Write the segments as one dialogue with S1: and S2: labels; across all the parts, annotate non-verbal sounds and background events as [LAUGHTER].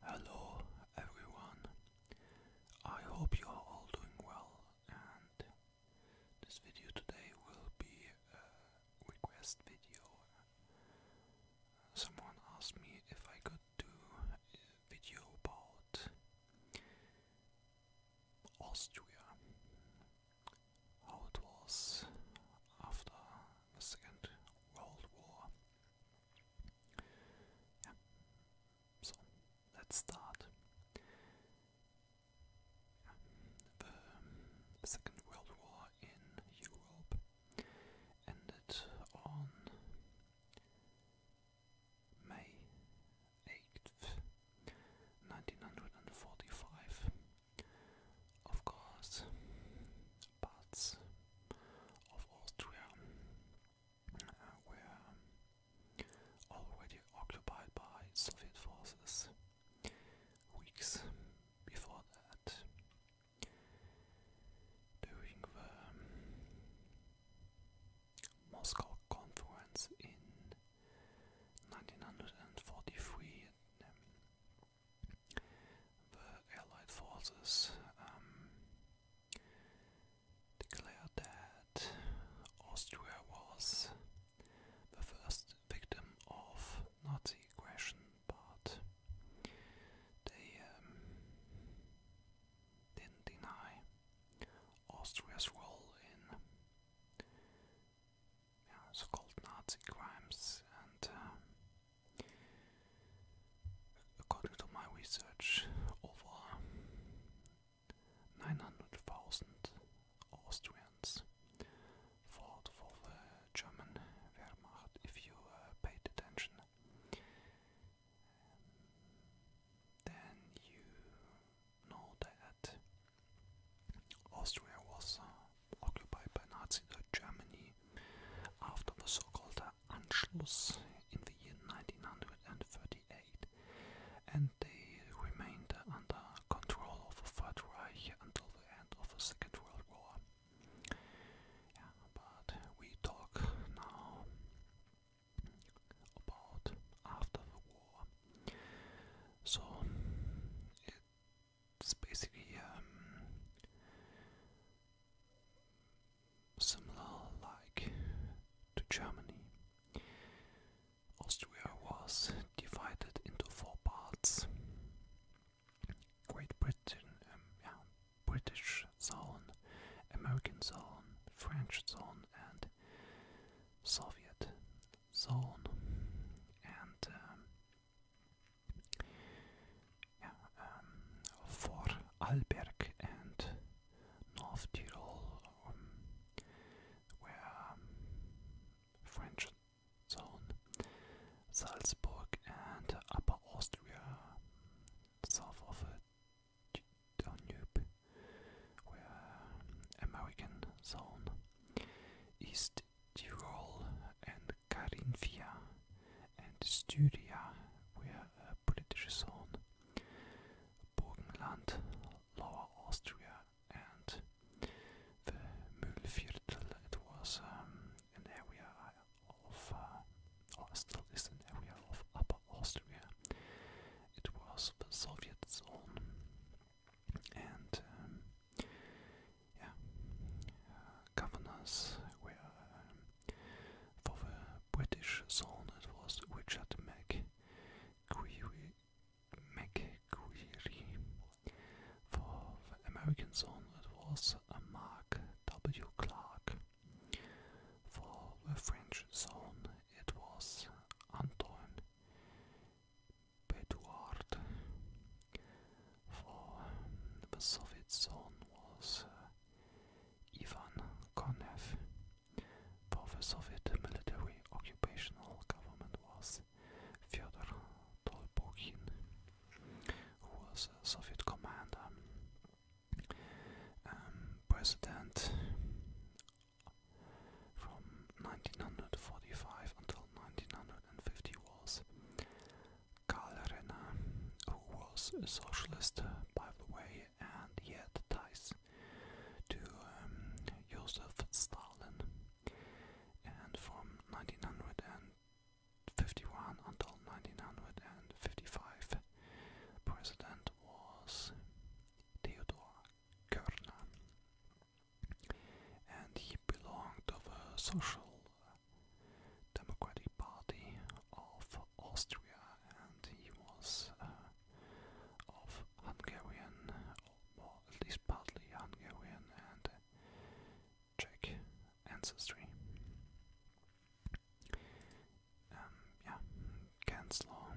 S1: Hello everyone. I hope you are all doing well and this video today will be a request video. Someone asked me if I could do a video about Austria. How it was after the Second World War so let's start. The Second World War in Europe ended on May 8th, 1945. Of course, parts of Austria uh, were already occupied by Soviet forces weeks before that. During the Moscow Conference in 1943, the Allied forces um, declared that Austria was the first victim of Nazi aggression, but they um, didn't deny Austria's role in so-called Nazi crimes and um, According to my research, over 900,000 Austrians fought for the German Wehrmacht, if you uh, paid attention. then you know that Austria was uh, occupied by Nazi Germany after the so-called Anschluss in the year 1938, and they remained under control of the Third Reich until the end of the Second World War. but we talk now about after the war. So it's basically um, similar like to Germany. Austria was divided into four parts. Great Britain, um, British zone, American zone, French zone, and Soviet zone. And um, for ehm, Alberg and North Tyrol um, um, French zone, Salzburg and Upper Austria, south of uh, the Danube, were um, American zone, East Tyrol and Carinthia and Styria were a uh, political zone. Burgenland, Lower Austria and the Mühlviertel, it was um, an area of, uh, still is an area of Upper Austria. It was the Soviet zone and um, yeah, äh, governors were äh, for the British zone. It was Richard McGreery, McGreery. For the American zone, it was uh, Mark W. Clark. For the French zone, it was Antoine Bedouard for the Soviet son was uh, Ivan Konev, for the Soviet military occupational government was Fyodor Tolbukhin, who was a Soviet commander, um, president from 1945 until 1950 was. Karl who was a socialist, uh, by the way, and yet had ties to um, Joseph Stalin. And from 1951 until 1955, president was Theodore Körner and he belonged of a social democratic party of Austria, and he was uh, of Hungarian, or at least partly Hungarian and Czech ancestry. Um, yeah, Kanzler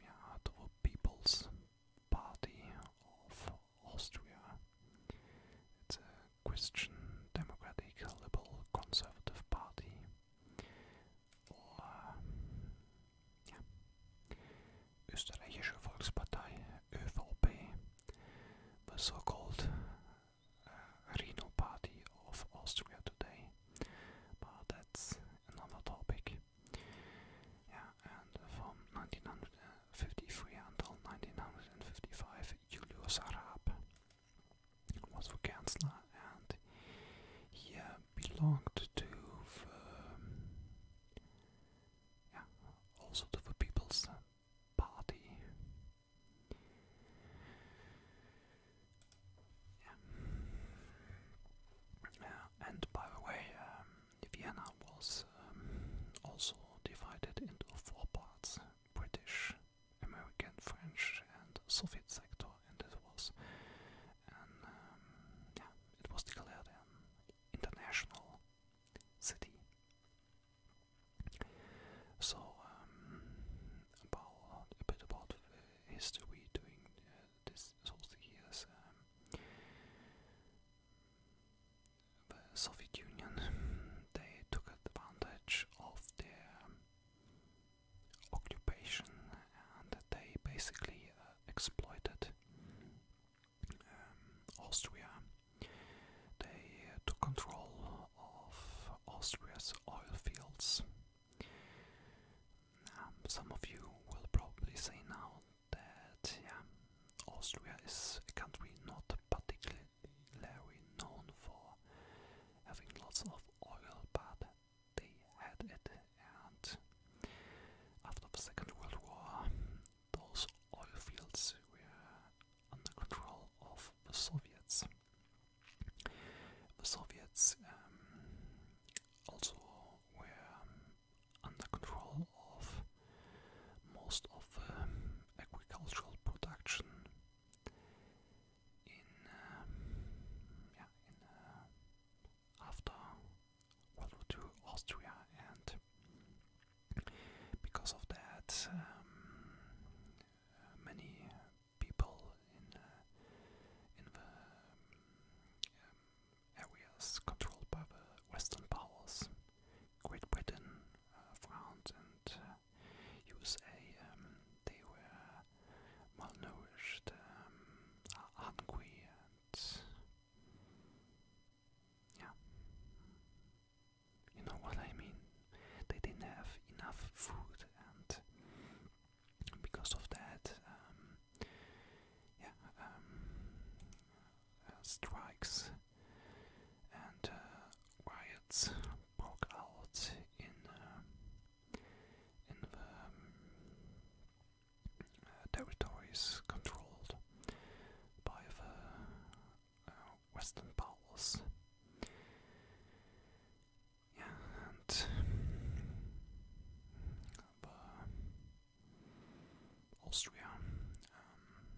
S1: yeah, the People's Party of Austria. It's a Christian, democratic, liberal, conservative party. Österreichische Volkspartei, ÖVP, the so-called Reno Party of Austria today, but that's another topic. Yeah, and from 1953 until 1955, Julius Raab was the Chancellor, and he uh, belonged to the, yeah, also to People's Party, yeah. and by the way, um, Vienna was um, also divided into four parts British, American, French, and Soviet sector, and it was. Um, it was declared international city. So um, about a bit about history during uh, this. this those years. Um, the Soviet Union [LAUGHS] they took advantage of their occupation and they basically uh, exploited um, Austria. They uh, took control of Austria's oil fields. Um, some of you will probably say now that Austria is a country not particularly known for having lots of oil, but they had it, and after the Second World War, those oil fields were under control of the Soviets. The Soviets um, also were under control of most of the agricultural production in um, uh, after World War II Austria and. Because of that, um, many people in uh, in the um, areas controlled by the Western powers, Great Britain, uh, France, and uh, USA, um, they were malnourished, um, hungry, and yeah, you know what I mean? They didn't have enough food, and because of that, um, yeah, um, uh, strikes and uh, riots broke out in uh, in the um, uh, territories controlled by the uh, Western Powers. Yeah, and um, Austria. Um,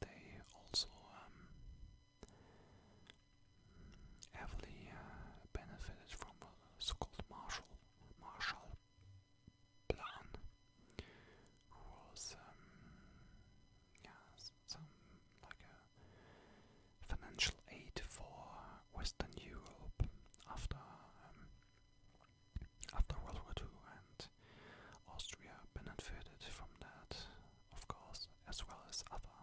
S1: they also um, heavily uh, benefited from the so-called Marshall Marshall Plan, was um, yeah, some like a financial aid for Western Europe after um, after World War II, and Austria benefited from that, of course, as well as other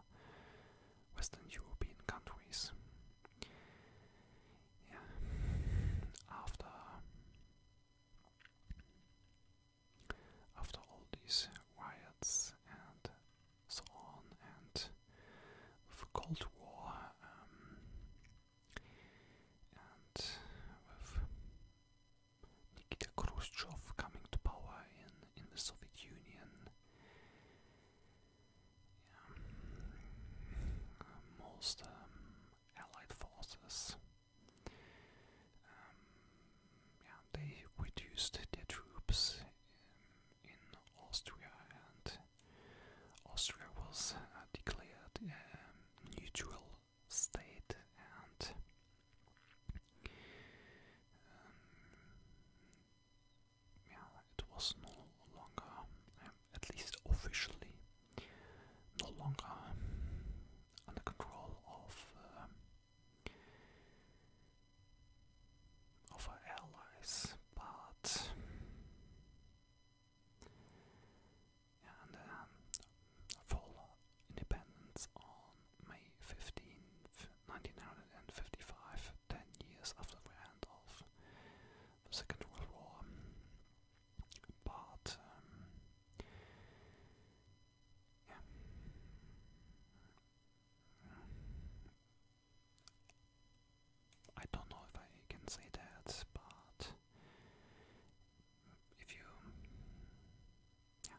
S1: Western European countries. Yeah. After after all these riots and so on, and with the Cold War um, and with Nikita Khrushchev coming to power in, in the Soviet Union, um, most um, Allied forces um, they reduced their troops um, in, Austria, and Austria was uh, declared a neutral state, and um, yeah, it was no longer at least officially, no longer under control of uh, of our allies, but and um, full independence on May 15th, 10 years after the end of the Second World War. But um, I don't know if I can say that, but if you, yeah,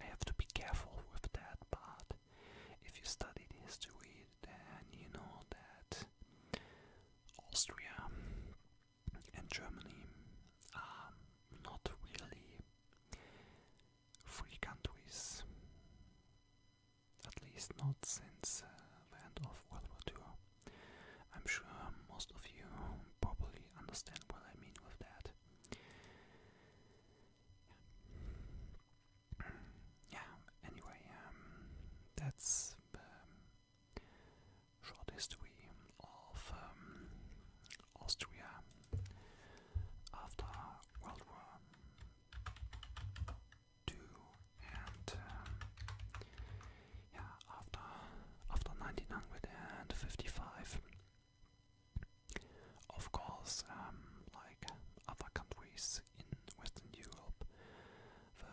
S1: I have to be careful with that. But if you studied history, then you know that Austria and Germany are um, not really free countries, at least not since uh, the end of World War II. I'm sure most of you probably understand what I mean with that. Yeah, anyway, um, that's um, Short history of um, Austria after World War II and um, yeah after after 1955. Of course, um, like other countries in Western Europe, the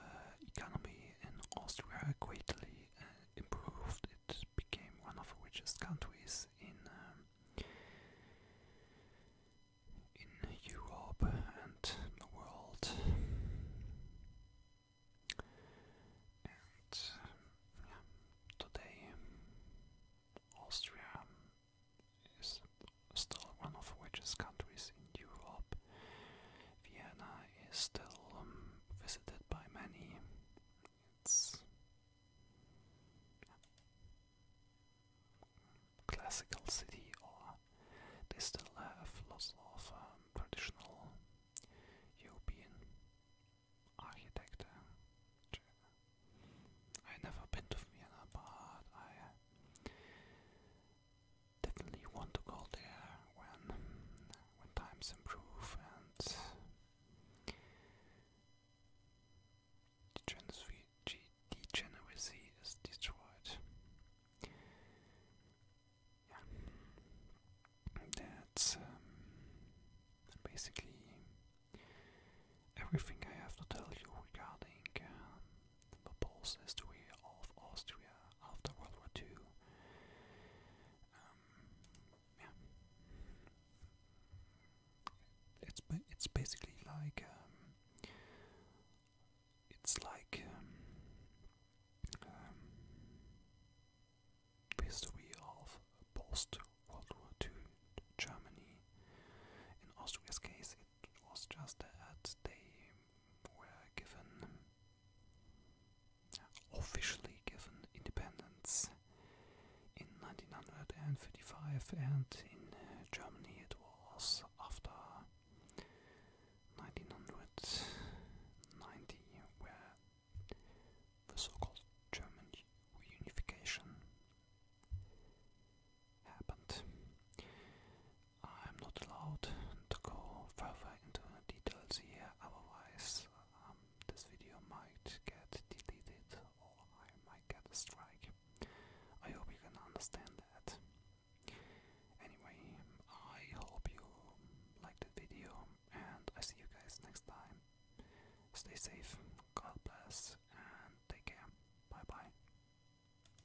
S1: economy in Austria greatly uh, improved. It became one of the richest countries in um, in Europe and the world. And today Austria is still one of the richest countries in Europe. Vienna is still um, visited by many. It's classical city, or they still have lots of um, traditional European architecture. I never been to Vienna, but I definitely want to go there when when times improve and degeneracy is destroyed. Yeah, that's um, basically everything I have to tell you regarding um, the Pulse history of Austria after World War II. Um, yeah. It's it's basically like um, it's like um, history of post World War II Germany. In Austria's case, it was just that they were given officially given independence in 1935 and in Germany it was after 1990 where the so-called German reunification happened. I'm not allowed to go further into details here, otherwise um, this video might get deleted or I might get a strike. I hope you can understand that. Anyway, I hope you liked the video and I see you guys next time. Stay safe, God bless, and take care. Bye bye.